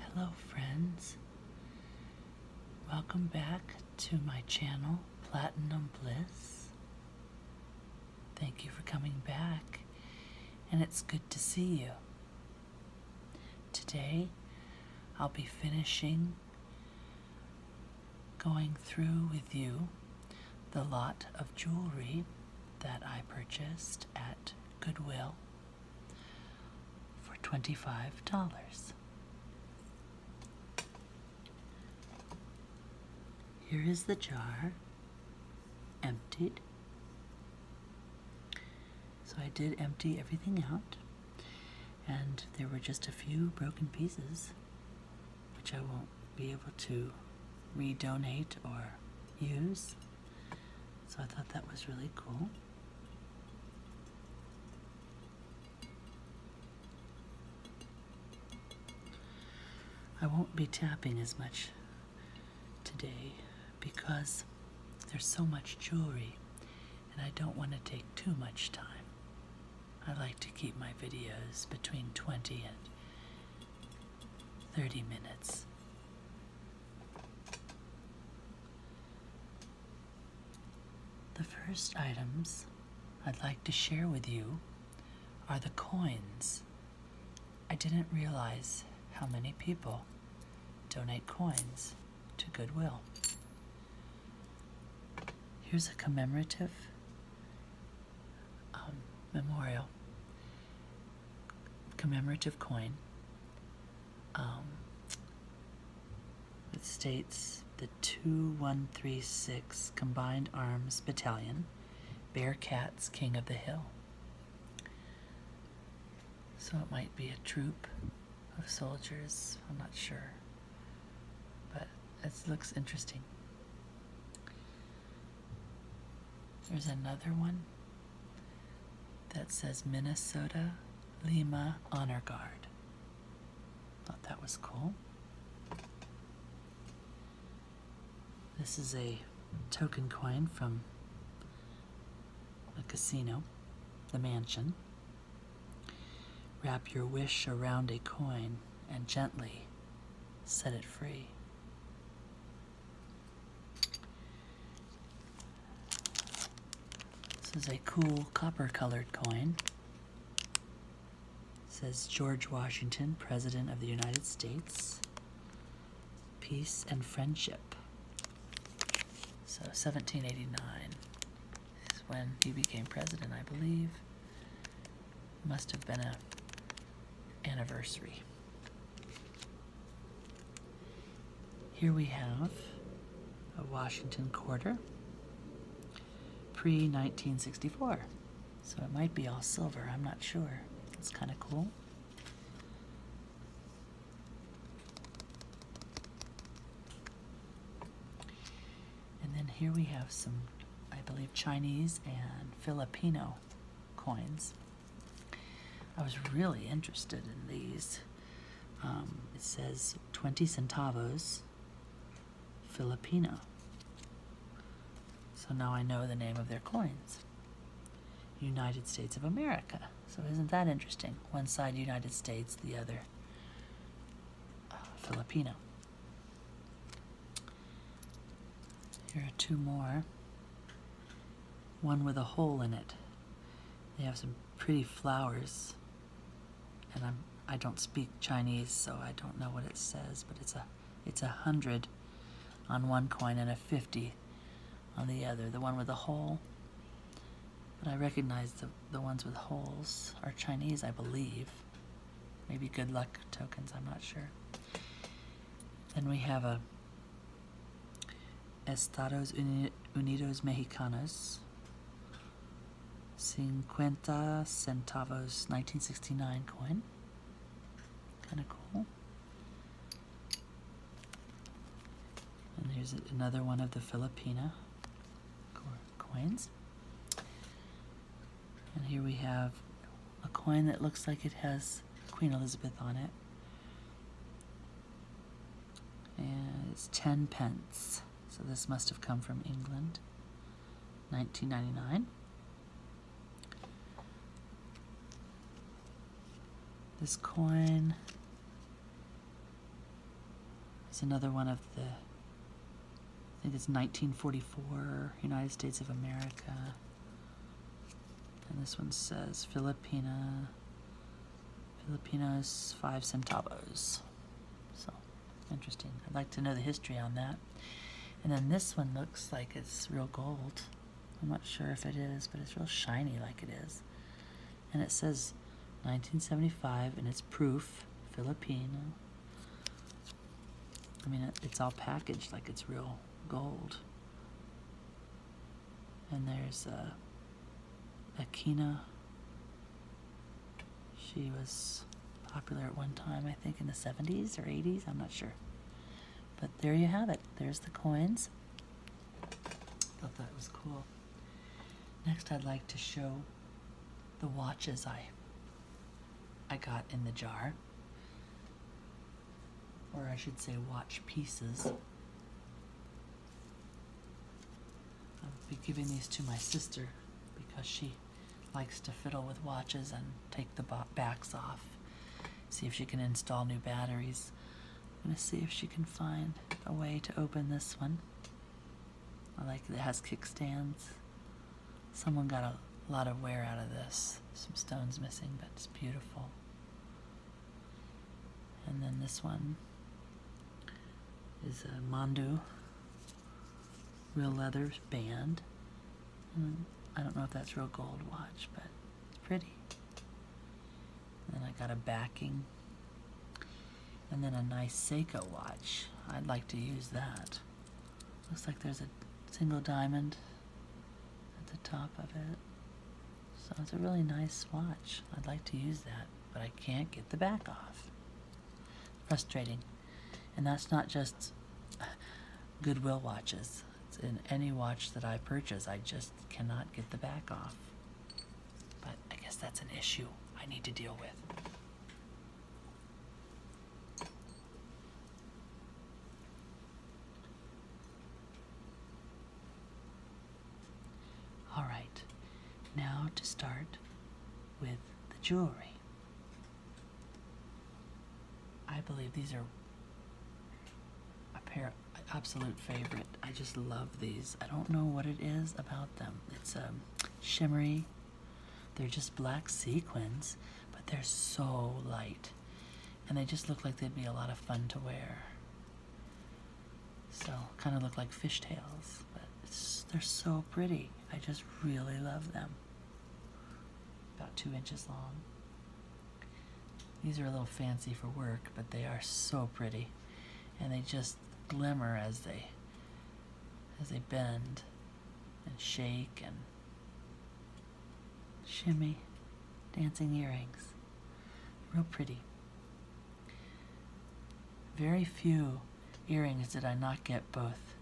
Hello, friends. Welcome back to my channel, Platinum Bliss. Thank you for coming back, and it's good to see you. Today, I'll be finishing going through with you the lot of jewelry that I purchased at Goodwill for $25. Here is the jar, emptied. So I did empty everything out, and there were just a few broken pieces, which I won't be able to redonate or use. So I thought that was really cool. I won't be tapping as much today because there's so much jewelry and I don't want to take too much time. I like to keep my videos between 20 and 30 minutes. The first items I'd like to share with you are the coins. I didn't realize how many people donate coins to Goodwill. Here's a commemorative um, memorial commemorative coin. Um, it states the 2136 Combined Arms Battalion, Bearcats, King of the Hill. So it might be a troop of soldiers, I'm not sure. But it looks interesting. There's another one that says Minnesota Lima Honor Guard. Thought that was cool. This is a token coin from a casino, the mansion. Wrap your wish around a coin and gently set it free. This is a cool copper colored coin. says George Washington, President of the United States. Peace and friendship. So 1789 is when he became president, I believe. Must have been a anniversary. Here we have a Washington quarter, pre-1964. So it might be all silver, I'm not sure. It's kind of cool. And then here we have some, I believe, Chinese and Filipino coins. I was really interested in these. Um, it says 20 centavos Filipino. So now I know the name of their coins. United States of America. So isn't that interesting? One side United States, the other uh, Filipino. Here are two more one with a hole in it. They have some pretty flowers. And I'm I don't speak Chinese, so I don't know what it says, but it's a it's a hundred on one coin and a fifty on the other, the one with a hole. But I recognize the, the ones with holes are Chinese, I believe. Maybe good luck tokens, I'm not sure. Then we have a Estados Unidos Mexicanos, 50 centavos 1969 coin. Kind of cool. And here's another one of the Filipina coins. And here we have a coin that looks like it has Queen Elizabeth on it. And it's 10 pence. So this must have come from England. 1999. This coin is another one of the, I think it's 1944, United States of America. And this one says Filipina. Filipinos, five centavos. So, interesting. I'd like to know the history on that. And then this one looks like it's real gold. I'm not sure if it is, but it's real shiny like it is. And it says 1975, and it's proof, Filipino. I mean, it's all packaged like it's real gold and there's uh, Akina. She was popular at one time, I think in the 70s or 80s, I'm not sure. But there you have it. There's the coins. Thought that was cool. Next I'd like to show the watches I I got in the jar or I should say, watch pieces. I'll be giving these to my sister because she likes to fiddle with watches and take the backs off. See if she can install new batteries. I'm going to see if she can find a way to open this one. I like it has kickstands. Someone got a lot of wear out of this. Some stones missing, but it's beautiful. And then this one is a Mondu real leather band. I don't know if that's real gold watch, but it's pretty. And then I got a backing. And then a nice Seiko watch. I'd like to use that. Looks like there's a single diamond at the top of it. So it's a really nice swatch. I'd like to use that, but I can't get the back off. Frustrating. And that's not just Goodwill watches. It's in any watch that I purchase, I just cannot get the back off. But I guess that's an issue I need to deal with. All right, now to start with the jewelry. I believe these are a pair absolute favorite. I just love these. I don't know what it is about them. It's a um, shimmery. They're just black sequins, but they're so light and they just look like they'd be a lot of fun to wear. So, kind of look like fishtails, but they're so pretty. I just really love them. About two inches long. These are a little fancy for work, but they are so pretty. And they just glimmer as they as they bend and shake and shimmy dancing earrings. Real pretty. Very few earrings did I not get both.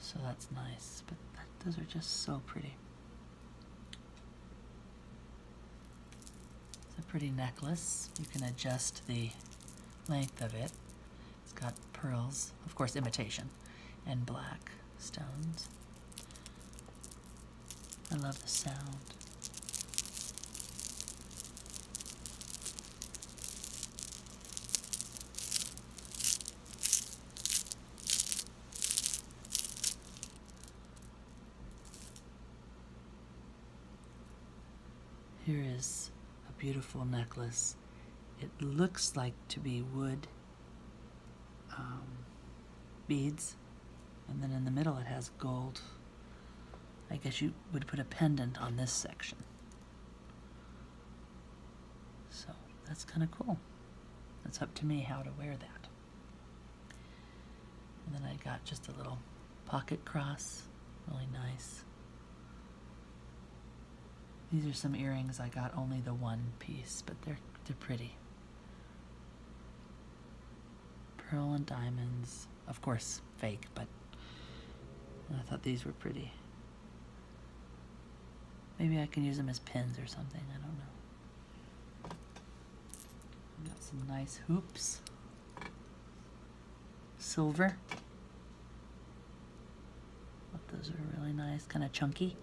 So that's nice. But those are just so pretty. It's a pretty necklace. You can adjust the length of it. It's got pearls, of course imitation, and black stones. I love the sound. Here is a beautiful necklace. It looks like to be wood um, beads, and then in the middle it has gold. I guess you would put a pendant on this section. So that's kind of cool. It's up to me how to wear that. And then I got just a little pocket cross, really nice. These are some earrings I got only the one piece, but they're they're pretty. Pearl and diamonds. Of course, fake, but I thought these were pretty. Maybe I can use them as pins or something. I don't know. got some nice hoops. Silver. Those are really nice, kind of chunky.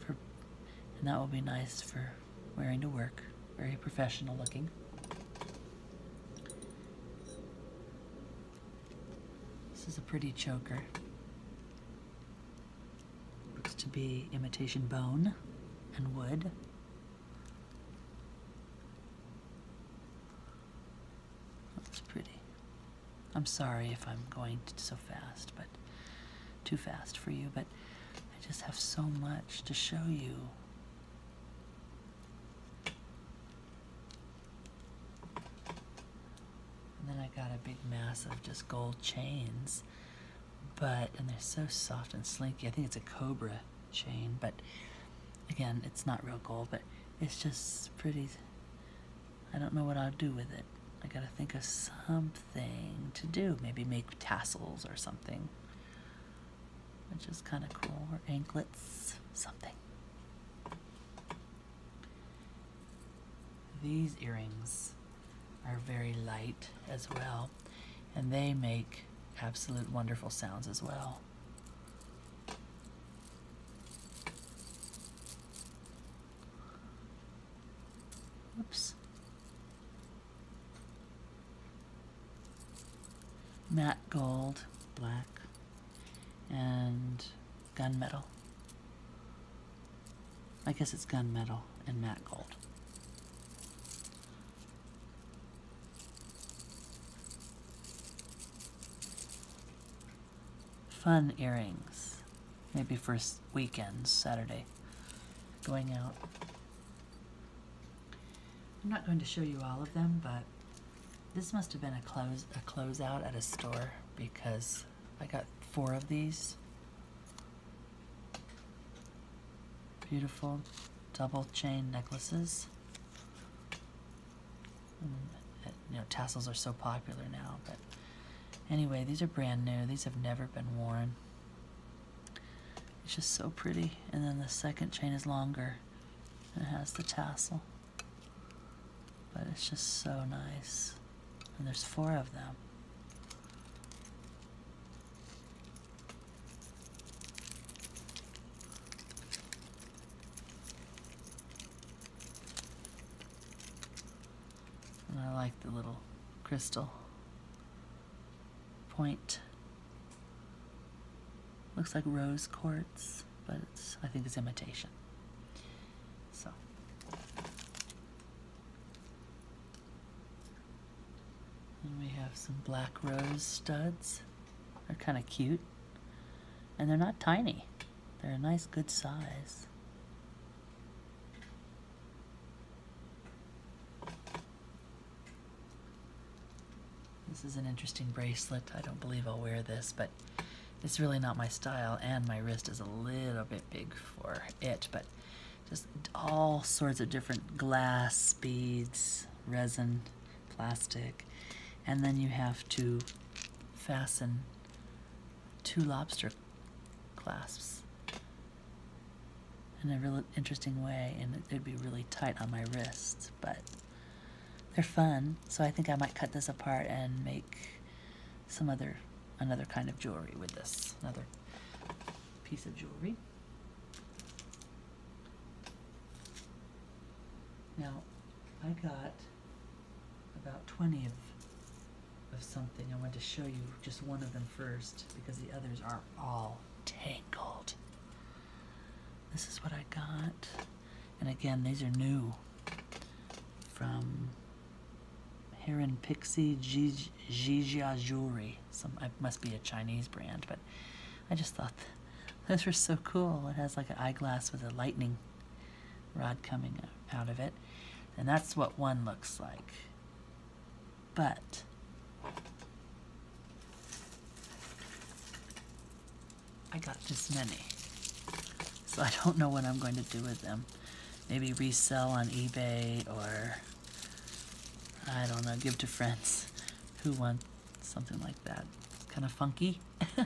For, and that will be nice for wearing to work, very professional looking. This is a pretty choker. Looks to be imitation bone and wood. That's pretty. I'm sorry if I'm going so fast, but too fast for you, but I just have so much to show you. And then I got a big mass of just gold chains, but, and they're so soft and slinky. I think it's a cobra chain, but again, it's not real gold, but it's just pretty, I don't know what I'll do with it. I gotta think of some thing to do. Maybe make tassels or something, which is kind of cool, or anklets, something. These earrings are very light as well, and they make absolute wonderful sounds as well. Oops. Matte gold, black, and gunmetal. I guess it's gunmetal and matte gold. Fun earrings. Maybe for weekends, Saturday, going out. I'm not going to show you all of them, but this must have been a close a closeout at a store because I got four of these. Beautiful double chain necklaces. Mm, you know, tassels are so popular now, but anyway, these are brand new. These have never been worn. It's just so pretty. And then the second chain is longer and it has the tassel. But it's just so nice. And there's four of them. And I like the little crystal point. Looks like rose quartz, but I think it's imitation. So. we have some black rose studs. They're kind of cute. And they're not tiny. They're a nice good size. This is an interesting bracelet. I don't believe I'll wear this, but it's really not my style, and my wrist is a little bit big for it, but just all sorts of different glass beads, resin, plastic, and then you have to fasten two lobster clasps in a really interesting way, and it'd be really tight on my wrist, but they're fun, so I think I might cut this apart and make some other, another kind of jewelry with this, another piece of jewelry. Now, I got about 20 of of something. I want to show you just one of them first because the others are all tangled. This is what I got. And again, these are new from Heron Pixie Jijia Jewelry. Some, it must be a Chinese brand, but I just thought those were so cool. It has like an eyeglass with a lightning rod coming out of it. And that's what one looks like but. I got this many. So I don't know what I'm going to do with them. Maybe resell on eBay or, I don't know, give to friends who want something like that. It's kind of funky.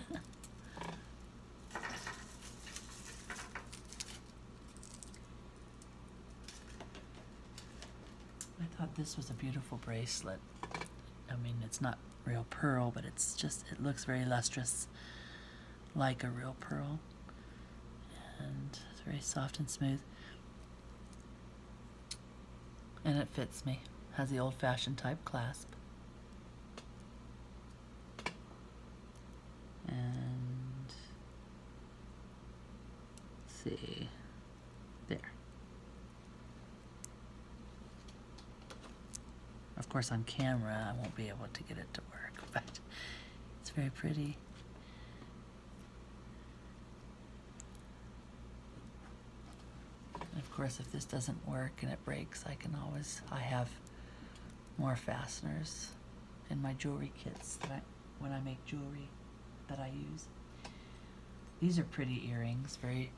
I thought this was a beautiful bracelet. I mean, it's not real pearl, but it's just, it looks very lustrous, like a real pearl. And it's very soft and smooth. And it fits me. Has the old-fashioned type clasp. And see. There. Of course, on camera, I won't be able to get it to work, but it's very pretty. of course, if this doesn't work and it breaks, I can always, I have more fasteners in my jewelry kits that when I make jewelry that I use. These are pretty earrings, very,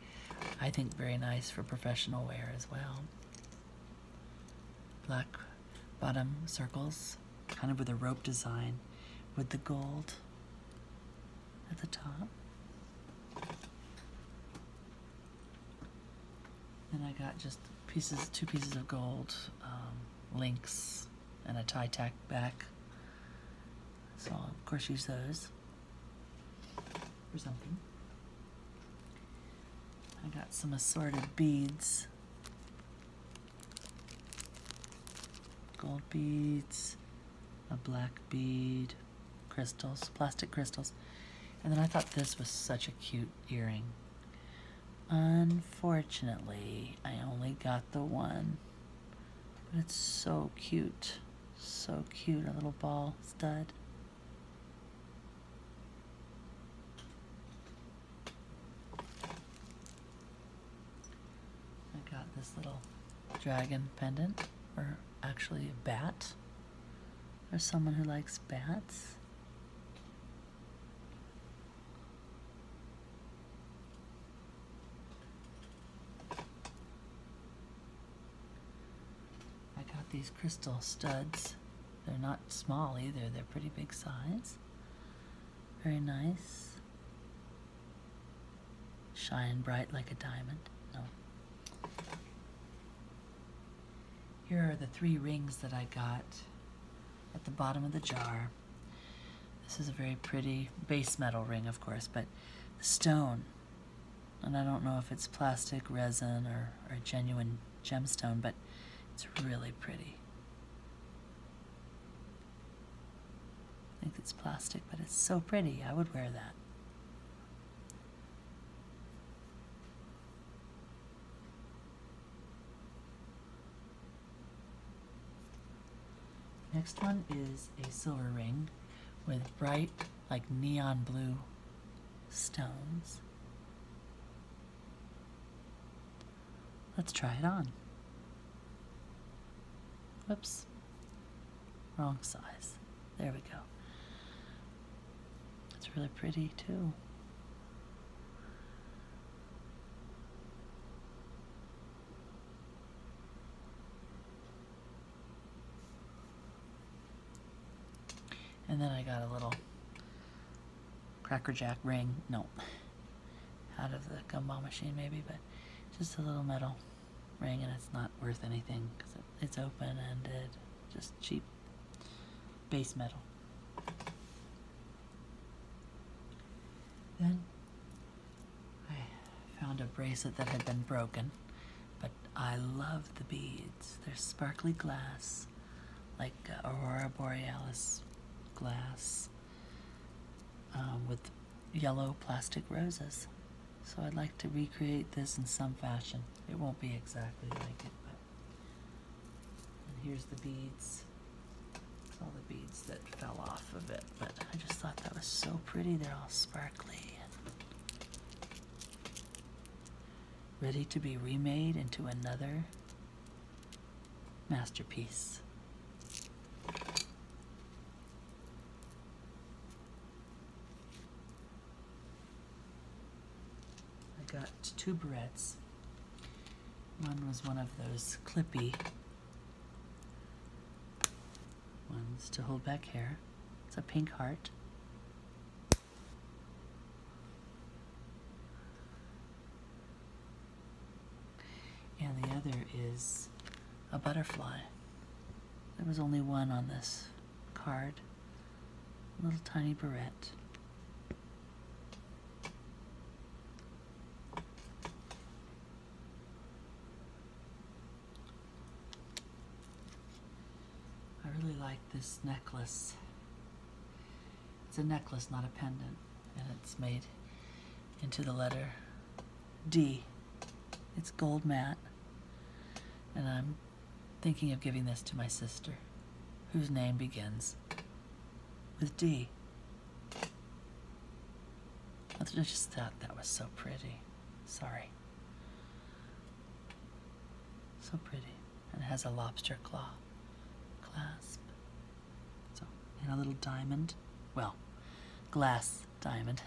I think very nice for professional wear as well. Black bottom circles, kind of with a rope design with the gold at the top. Then I got just pieces, two pieces of gold um, links and a tie tack back. So I'll of course use those for something. I got some assorted beads. Gold beads, a black bead, crystals, plastic crystals. And then I thought this was such a cute earring. Unfortunately, I only got the one. But it's so cute. So cute, a little ball stud. I got this little dragon pendant, or actually a bat. Or someone who likes bats. I got these crystal studs. They're not small either, they're pretty big size. Very nice. Shine bright like a diamond. No. Here are the three rings that I got at the bottom of the jar. This is a very pretty base metal ring, of course, but the stone. And I don't know if it's plastic, resin, or, or genuine gemstone, but it's really pretty. I think it's plastic, but it's so pretty. I would wear that. Next one is a silver ring with bright, like neon blue stones. Let's try it on. Whoops, wrong size. There we go. It's really pretty too. And then I got a little Cracker Jack ring, no, out of the gumball machine maybe, but just a little metal ring and it's not worth anything because it's open-ended, just cheap base metal. Then I found a bracelet that had been broken, but I love the beads. They're sparkly glass, like uh, Aurora Borealis glass um, with yellow plastic roses. So I'd like to recreate this in some fashion. It won't be exactly like it, but here's the beads. All the beads that fell off of it, but I just thought that was so pretty. They're all sparkly. Ready to be remade into another masterpiece. I got two barrettes one was one of those clippy ones to hold back hair. It's a pink heart. And the other is a butterfly. There was only one on this card. A little tiny barrette. I really like this necklace. It's a necklace, not a pendant, and it's made into the letter D. It's gold matte, and I'm thinking of giving this to my sister, whose name begins with D. I just thought that was so pretty. Sorry. So pretty. And it has a lobster claw clasp. and a little diamond. Well, glass diamond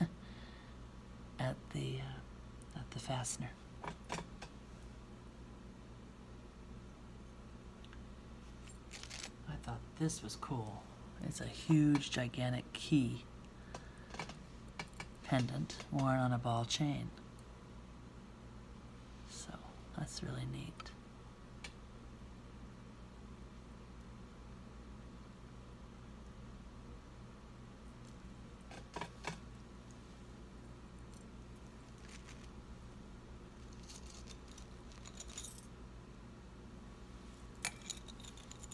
at the uh, at the fastener. I thought this was cool. It's a huge, gigantic key pendant worn on a ball chain. So that's really neat.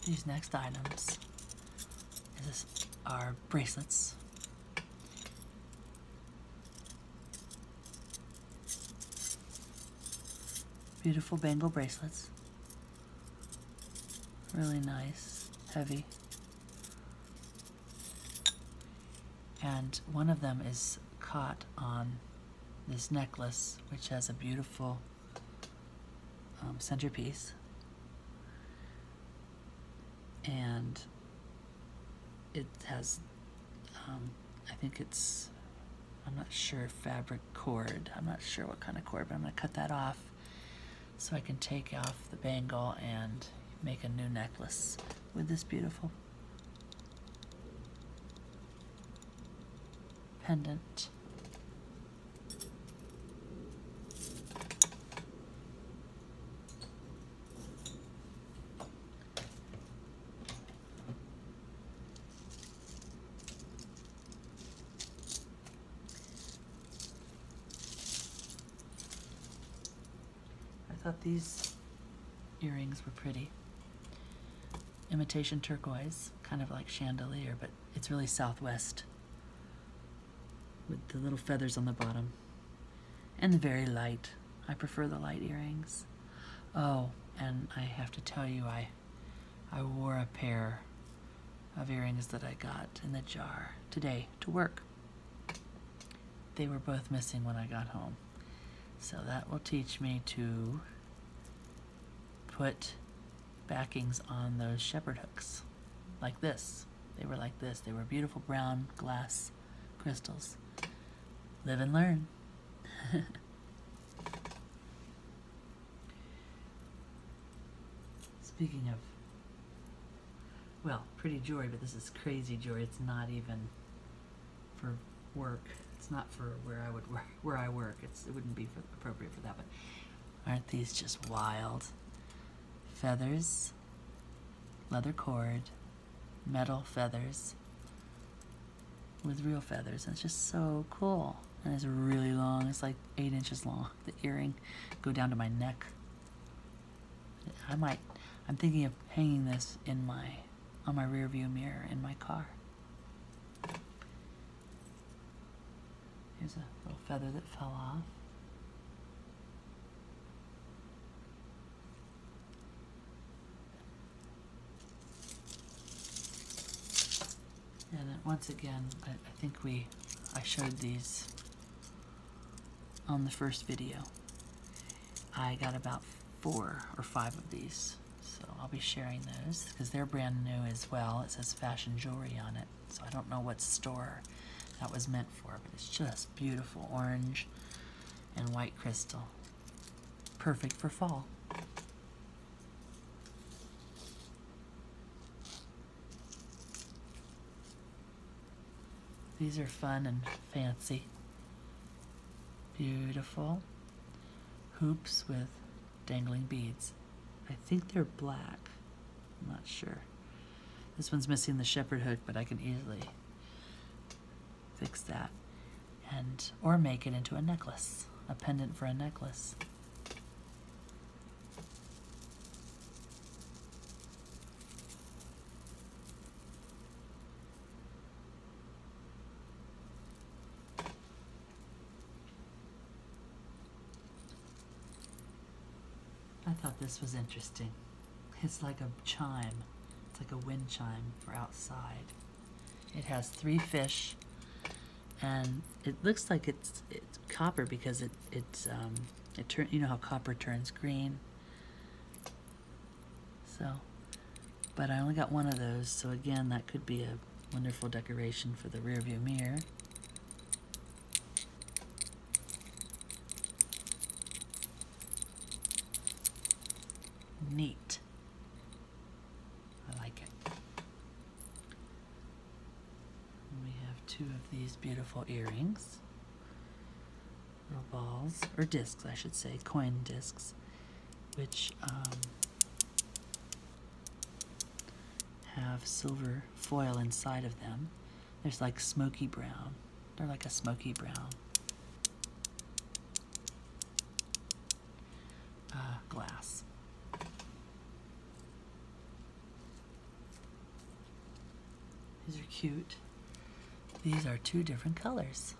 These next items are bracelets. Beautiful bangle bracelets. Really nice, heavy. And one of them is caught on this necklace, which has a beautiful um, centerpiece. And it has, um, I think it's, I'm not sure, fabric cord. I'm not sure what kind of cord, but I'm going to cut that off so I can take off the bangle and make a new necklace with this beautiful Pendant. I thought these Earrings were pretty. Imitation turquoise, kind of like chandelier, but it's really southwest with the little feathers on the bottom. And very light. I prefer the light earrings. Oh, and I have to tell you, I, I wore a pair of earrings that I got in the jar today to work. They were both missing when I got home. So that will teach me to put backings on those shepherd hooks like this. They were like this. They were beautiful brown glass crystals. Live and learn. Speaking of, well, pretty jewelry, but this is crazy jewelry. It's not even for work. It's not for where I would work, where I work. It's it wouldn't be appropriate for that. But aren't these just wild? Feathers, leather cord, metal feathers with real feathers. And it's just so cool. And it's really long. It's like eight inches long. The earring go down to my neck. I might. I'm thinking of hanging this in my on my rear view mirror in my car. Here's a little feather that fell off. And once again, I, I think we, I showed these on the first video. I got about four or five of these. So I'll be sharing those because they're brand new as well. It says fashion jewelry on it. So I don't know what store that was meant for, but it's just beautiful orange and white crystal. Perfect for fall. These are fun and fancy. Beautiful hoops with dangling beads. I think they're black. I'm not sure. This one's missing the shepherd hook, but I can easily fix that. And, or make it into a necklace, a pendant for a necklace. I thought this was interesting. It's like a chime. It's like a wind chime for outside. It has three fish, and it looks like it's it's copper because it it's um, it turn you know how copper turns green. So, but I only got one of those, so again, that could be a wonderful decoration for the rearview mirror. Neat. I like it. we have two of these beautiful earrings. Little balls, or discs, I should say, coin discs, which um, have silver foil inside of them. There's like smoky brown. They're like a smoky brown uh, glass. These are cute. These are two different colors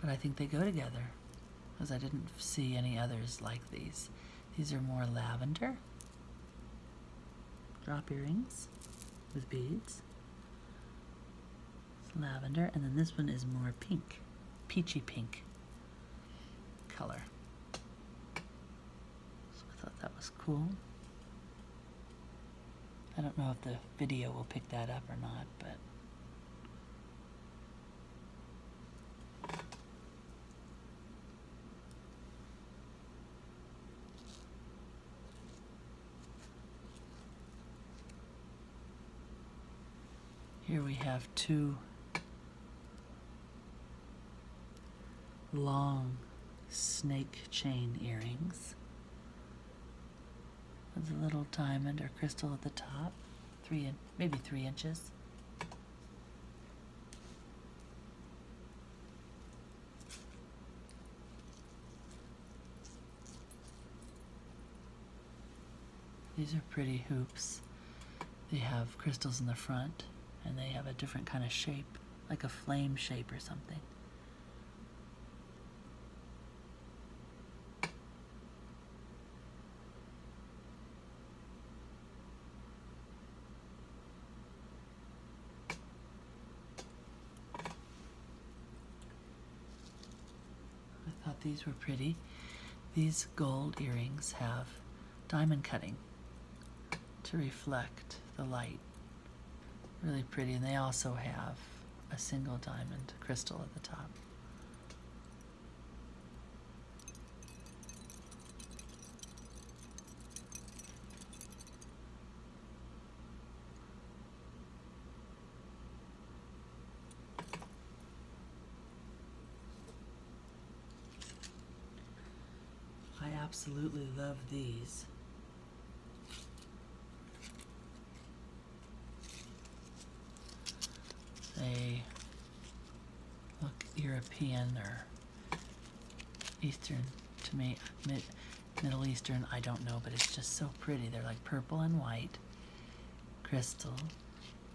but I think they go together because I didn't see any others like these. These are more lavender drop earrings with beads. lavender, and then this one is more pink, peachy pink color. So I thought that was cool. I don't know if the video will pick that up or not, but here we have two long snake chain earrings with a little diamond or crystal at the top three in, maybe three inches. These are pretty hoops. They have crystals in the front and they have a different kind of shape, like a flame shape or something. I thought these were pretty. These gold earrings have diamond cutting to reflect the light. Really pretty, and they also have a single diamond crystal at the top. I absolutely love these. They look European or Eastern to me, Middle Eastern, I don't know, but it's just so pretty. They're like purple and white, crystal,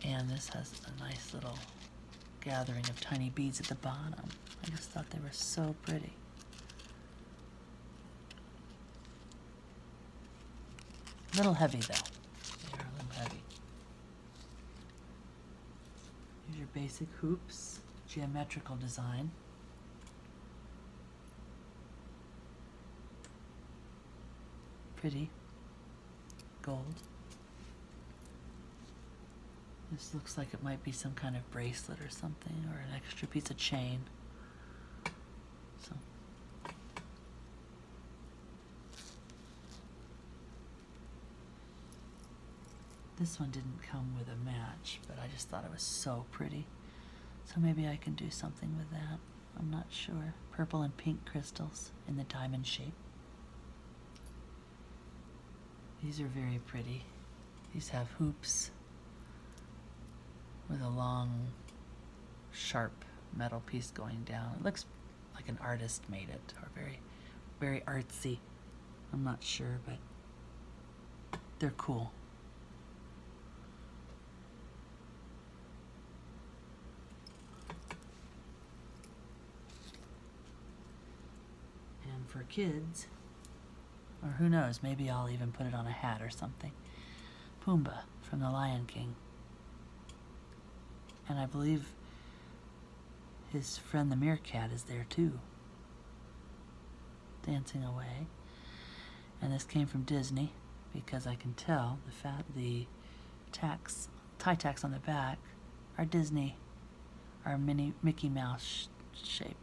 and this has a nice little gathering of tiny beads at the bottom. I just thought they were so pretty. A little heavy, though. Here's your basic hoops, geometrical design. Pretty. Gold. This looks like it might be some kind of bracelet or something, or an extra piece of chain. So, this one didn't come with a match, but I just thought it was so pretty. So maybe I can do something with that. I'm not sure. Purple and pink crystals in the diamond shape. These are very pretty. These have hoops with a long sharp metal piece going down. It looks like an artist made it, or very, very artsy. I'm not sure, but they're cool. And for kids, or who knows, maybe I'll even put it on a hat or something. Pumbaa from The Lion King. And I believe his friend the meerkat is there too, dancing away. And this came from Disney because I can tell the fat the tax tie tacks on the back are Disney, are mini Mickey Mouse shape.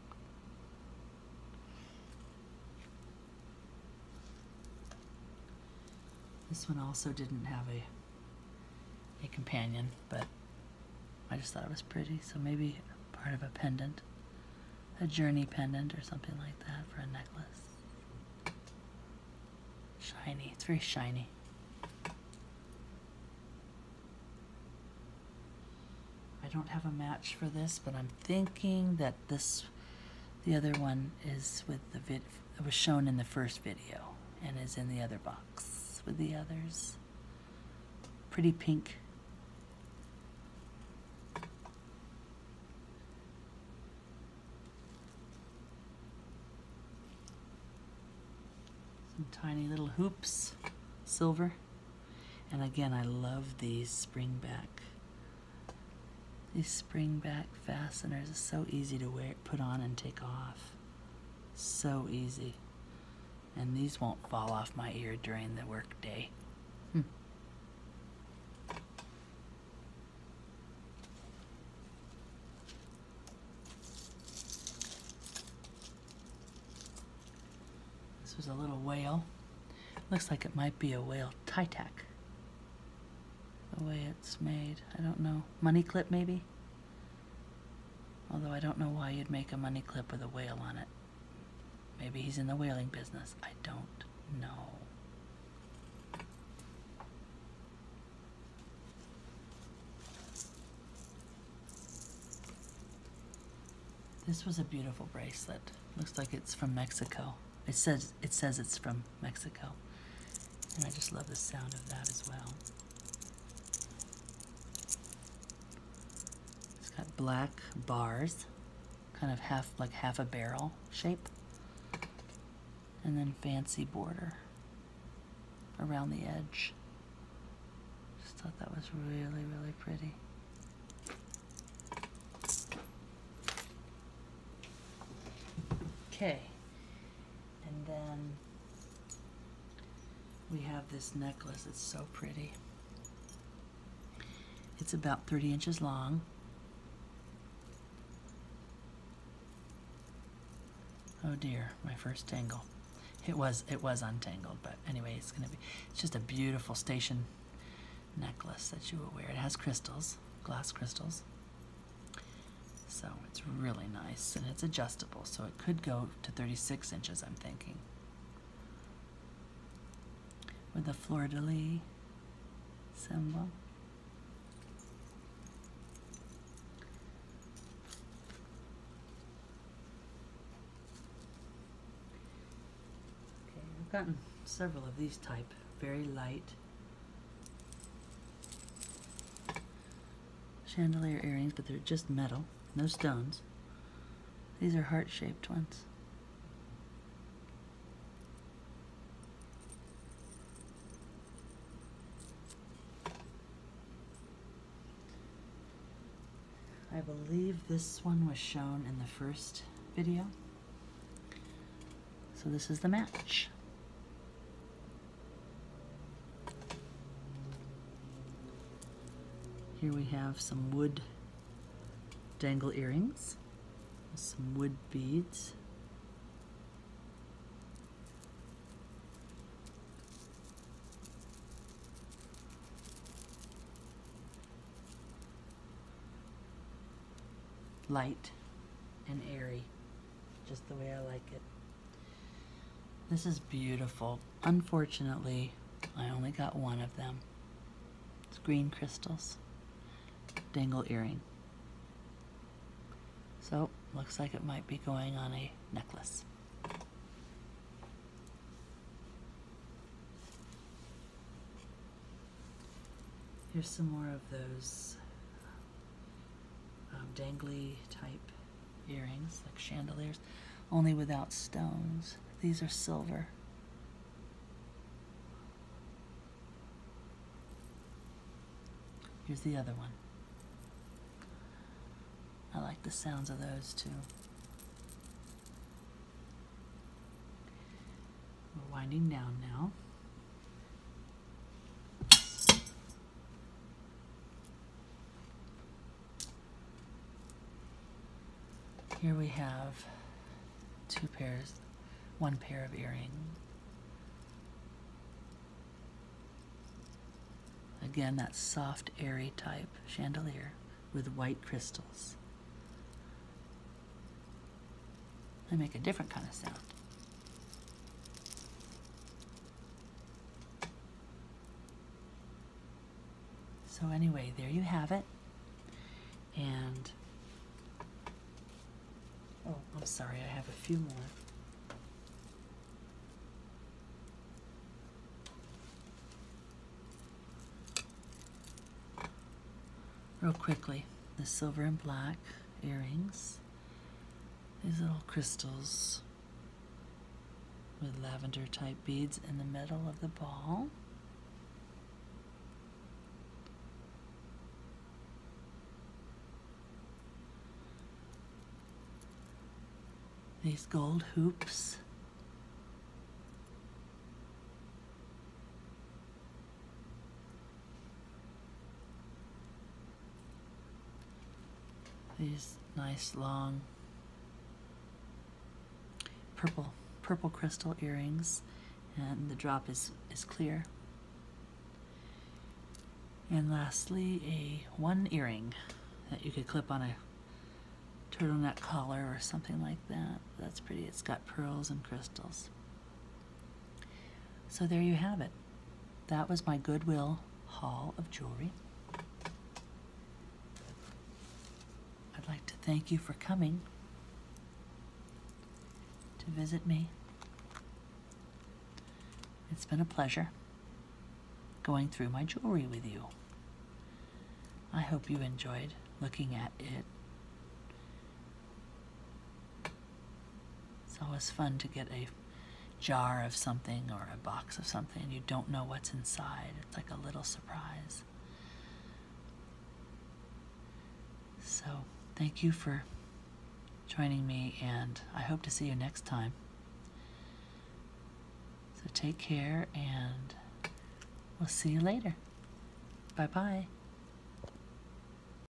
This one also didn't have a, a companion, but I just thought it was pretty, so maybe part of a pendant, a journey pendant or something like that for a necklace. Shiny, it's very shiny. I don't have a match for this, but I'm thinking that this, the other one is with the vid. It was shown in the first video and is in the other box with the others. Pretty pink. Some tiny little hoops, silver. And again, I love these spring back these spring back fasteners are so easy to wear, put on and take off. So easy. And these won't fall off my ear during the workday. Hmm. This was a little whale. Looks like it might be a whale Titac the way it's made. I don't know. Money clip, maybe? Although I don't know why you'd make a money clip with a whale on it. Maybe he's in the whaling business. I don't know. This was a beautiful bracelet. Looks like it's from Mexico. It says it says it's from Mexico. And I just love the sound of that as well. It's got black bars, kind of half like half a barrel shape. And then fancy border around the edge. Just thought that was really, really pretty. Okay. And then we have this necklace. It's so pretty. It's about 30 inches long. Oh dear, my first tangle. It was it was untangled, but anyway, it's gonna be it's just a beautiful station necklace that you will wear. It has crystals, glass crystals. So it's really nice and it's adjustable, so it could go to 36 inches, I'm thinking. With the fleur-de-lis symbol. Okay, I've gotten several of these type, very light Chandelier earrings, but they're just metal, no stones. These are heart-shaped ones. I believe this one was shown in the first video. So this is the match. Here we have some wood dangle earrings, some wood beads light and airy, just the way I like it. This is beautiful. Unfortunately, I only got one of them. It's green crystals, dangle earring. So, looks like it might be going on a necklace. Here's some more of those um, dangly type earrings, like chandeliers, only without stones. These are silver. Here's the other one. I like the sounds of those too. We're winding down now. Here we have two pairs, one pair of earrings. Again, that soft, airy type chandelier with white crystals. They make a different kind of sound. So anyway, there you have it. And, oh, I'm sorry, I have a few more. Real quickly, the silver and black earrings. These little crystals with lavender type beads in the middle of the ball. These gold hoops. These nice long purple purple crystal earrings and the drop is, is clear. And lastly, a one earring that you could clip on a turtleneck collar or something like that. That's pretty. It's got pearls and crystals. So there you have it. That was my Goodwill haul of jewelry. I'd like to thank you for coming to visit me. It's been a pleasure going through my jewelry with you. I hope you enjoyed looking at it it's always fun to get a jar of something or a box of something you don't know what's inside. It's like a little surprise. So, thank you for joining me, and I hope to see you next time. So, take care, and we'll see you later. Bye bye.